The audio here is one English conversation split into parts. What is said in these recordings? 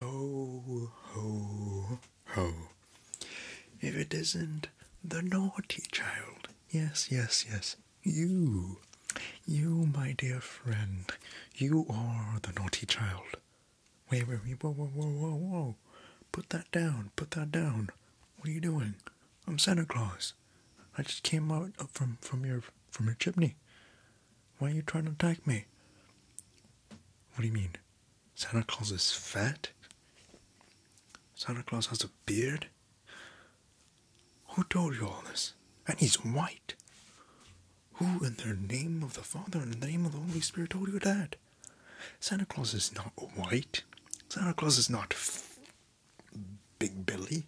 Ho, ho, ho. If it isn't the naughty child, yes, yes, yes, you, you, my dear friend, you are the naughty child. Wait, wait, wait, whoa, whoa, whoa, whoa, whoa. Put that down, put that down. What are you doing? I'm Santa Claus. I just came out from, from your from your chimney. Why are you trying to attack me? What do you mean? Santa Claus is fat? Santa Claus has a beard? Who told you all this? And he's white. Who in the name of the Father and the name of the Holy Spirit told you that? Santa Claus is not white. Santa Claus is not Big Billy.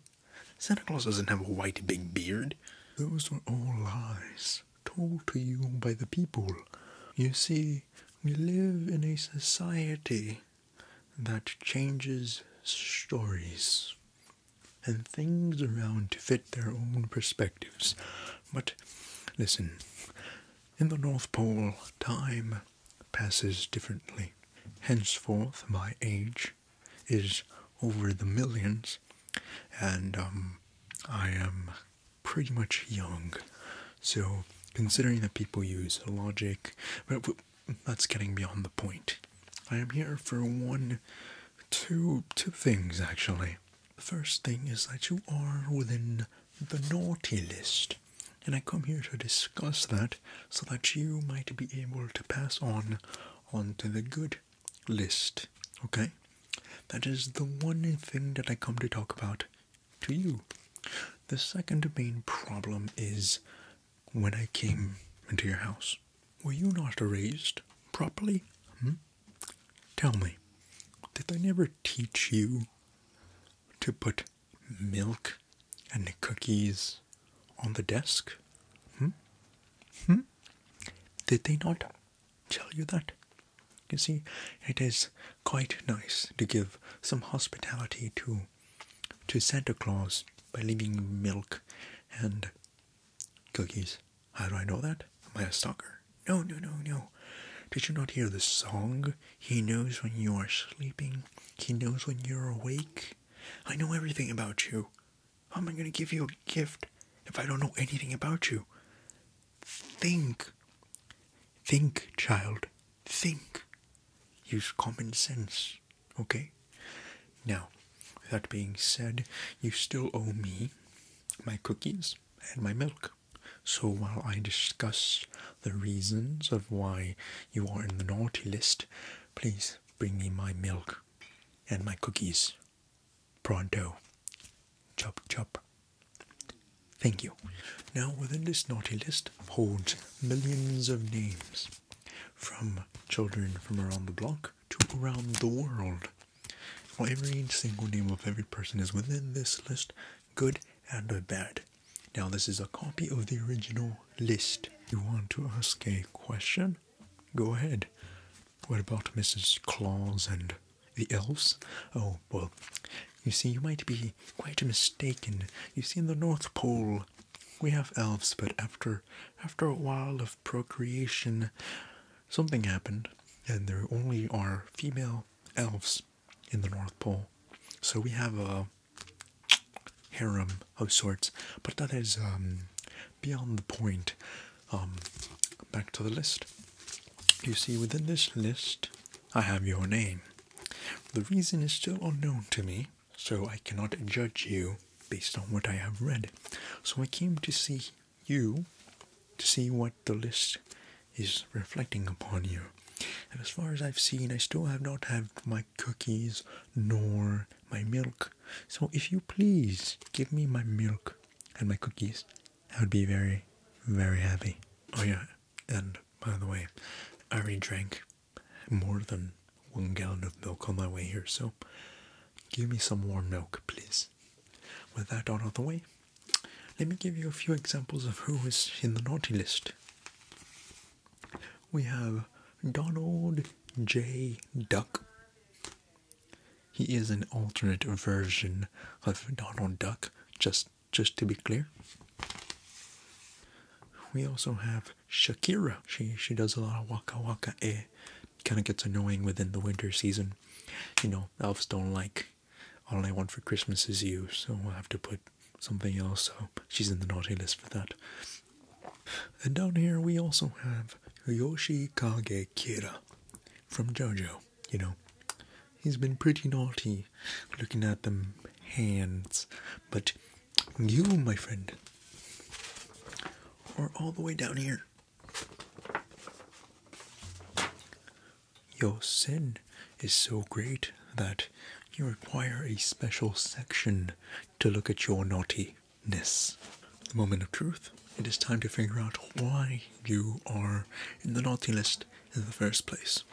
Santa Claus doesn't have a white big beard. Those were all lies told to you by the people. You see, we live in a society that changes stories and things around to fit their own perspectives. But listen, in the North Pole, time passes differently. Henceforth, my age is over the millions, and um, I am pretty much young. So, considering that people use logic, but that's getting beyond the point. I am here for one, two, two things actually. The first thing is that you are within the naughty list, and I come here to discuss that so that you might be able to pass on on to the good list. Okay, that is the one thing that I come to talk about to you. The second main problem is when I came into your house. Were you not raised properly? Hmm? Tell me, did they never teach you to put milk and cookies on the desk? Hmm? Hmm? Did they not tell you that. You see, it is quite nice to give some hospitality to to Santa Claus by leaving milk and cookies. How do I know that? Am I a stalker? No, no, no, no. Did you not hear the song? He knows when you are sleeping. He knows when you're awake. I know everything about you. How am I going to give you a gift if I don't know anything about you? Think. Think, child. Think. Use common sense. Okay? Now, that being said, you still owe me my cookies and my milk. So while I discuss the reasons of why you are in the naughty list, please bring me my milk and my cookies. Pronto. Chop chop. Thank you. Now, within this naughty list holds millions of names from children from around the block to around the world. Well, every single name of every person is within this list, good and bad. Now, this is a copy of the original list. You want to ask a question? Go ahead. What about Mrs. Claus and the elves? Oh, well, you see, you might be quite mistaken. You see, in the North Pole, we have elves, but after after a while of procreation, something happened, and there only are female elves in the North Pole. So we have a harem of sorts, but that is um, beyond the point. Um, back to the list. You see, within this list, I have your name. The reason is still unknown to me, so I cannot judge you based on what I have read. So I came to see you to see what the list is reflecting upon you. And as far as I've seen, I still have not had my cookies nor my milk. So if you please give me my milk and my cookies I would be very, very happy. Oh, yeah. And by the way, I already drank more than one gallon of milk on my way here, so give me some warm milk, please. With that out of the way, let me give you a few examples of who is in the naughty list. We have Donald J. Duck, he is an alternate version of Donald Duck, just just to be clear. We also have Shakira. She she does a lot of waka waka eh. Kind of gets annoying within the winter season. You know, elves don't like all I want for Christmas is you, so I have to put something else. So she's in the naughty list for that. And down here we also have Yoshi Kage Kira from JoJo you know, he's been pretty naughty looking at them hands. But you, my friend, are all the way down here. Your sin is so great that you require a special section to look at your naughtiness. The moment of truth it is time to figure out why you are in the naughty list in the first place.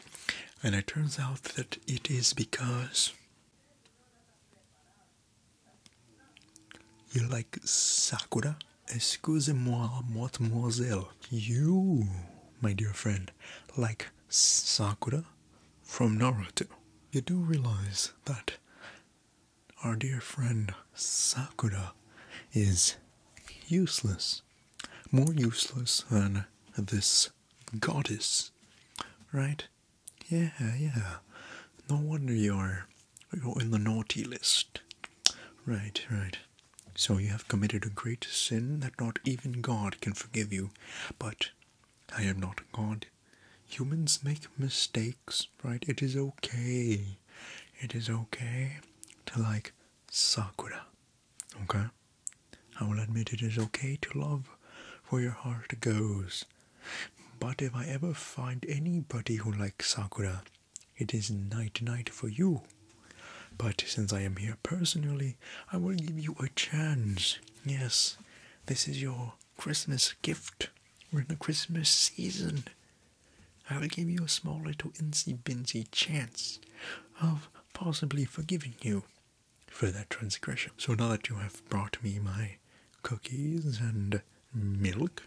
And it turns out that it is because you like Sakura. Excusez-moi, mademoiselle. You, my dear friend, like Sakura from Naruto. You do realize that our dear friend Sakura is useless. More useless than this goddess. Right? Yeah, yeah. No wonder you're you're in the naughty list. Right, right. So you have committed a great sin that not even God can forgive you. But I am not God. Humans make mistakes, right? It is okay. It is okay to like Sakura. Okay? I will admit it is okay to love where your heart goes. But if I ever find anybody who likes Sakura, it is night night for you. But since I am here personally, I will give you a chance. Yes, this is your Christmas gift. We're in the Christmas season. I'll give you a small little insy binsy chance of possibly forgiving you for that transgression. So now that you have brought me my cookies and milk,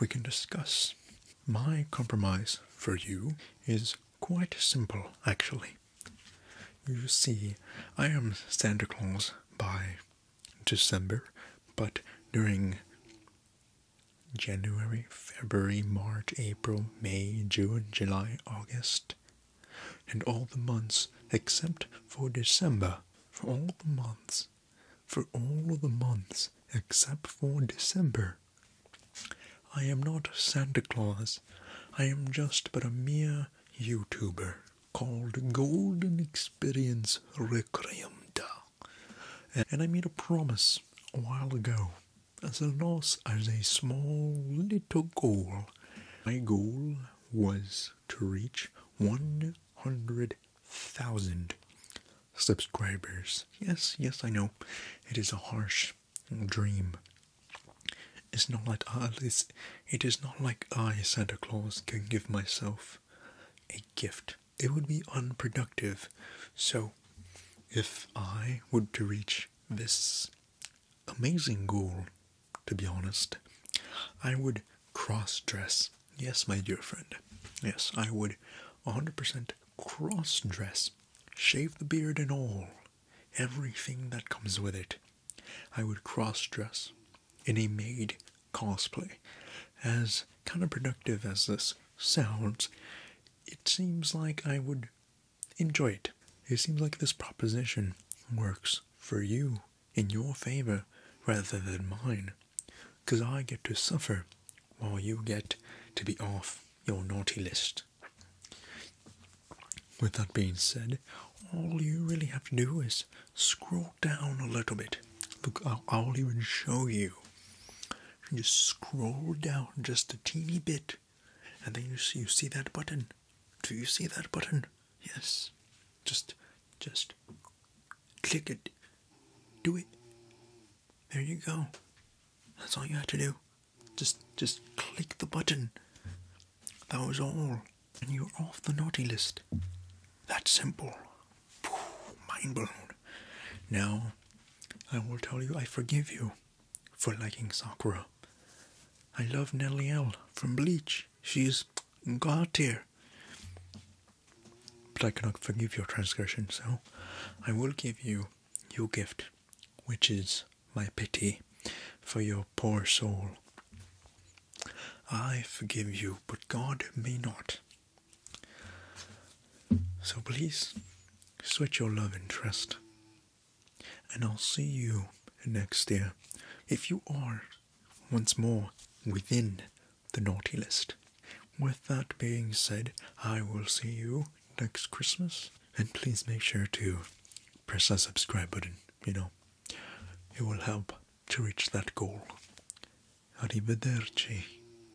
we can discuss. My compromise for you is quite simple, actually. You see, I am Santa Claus by December, but during January, February, March, April, May, June, July, August, and all the months except for December. For all the months, for all the months except for December. I am not Santa Claus. I am just but a mere YouTuber called Golden Experience Requiem and I made a promise a while ago as a loss as a small little goal. My goal was to reach 100,000 subscribers. Yes, yes, I know. It is a harsh dream. It's not like uh, it is not like I, Santa Claus, can give myself a gift it would be unproductive. So, if I were to reach this amazing goal, to be honest, I would cross dress. Yes, my dear friend. Yes, I would 100% cross dress, shave the beard and all, everything that comes with it. I would cross dress in a maid cosplay as Kind of productive as this sounds, it seems like I would enjoy it. It seems like this proposition works for you in your favor rather than mine, because I get to suffer while you get to be off your naughty list. With that being said, all you really have to do is scroll down a little bit. Look, I'll even show you you scroll down just a teeny bit, and then you see, you see that button. Do you see that button? Yes. Just, just click it. Do it. There you go. That's all you have to do. Just, just click the button. That was all, and you're off the naughty list. That's simple mind blown. Now, I will tell you I forgive you for liking Sakura. I love Nellie L from Bleach. She is God tier. But I cannot forgive your transgression, so I will give you your gift, which is my pity for your poor soul. I forgive you, but God may not. So please switch your love interest, and I'll see you next year if you are once more within the naughty list. With that being said, I will see you next Christmas, and please make sure to press that subscribe button, you know, it will help to reach that goal. Arrivederci.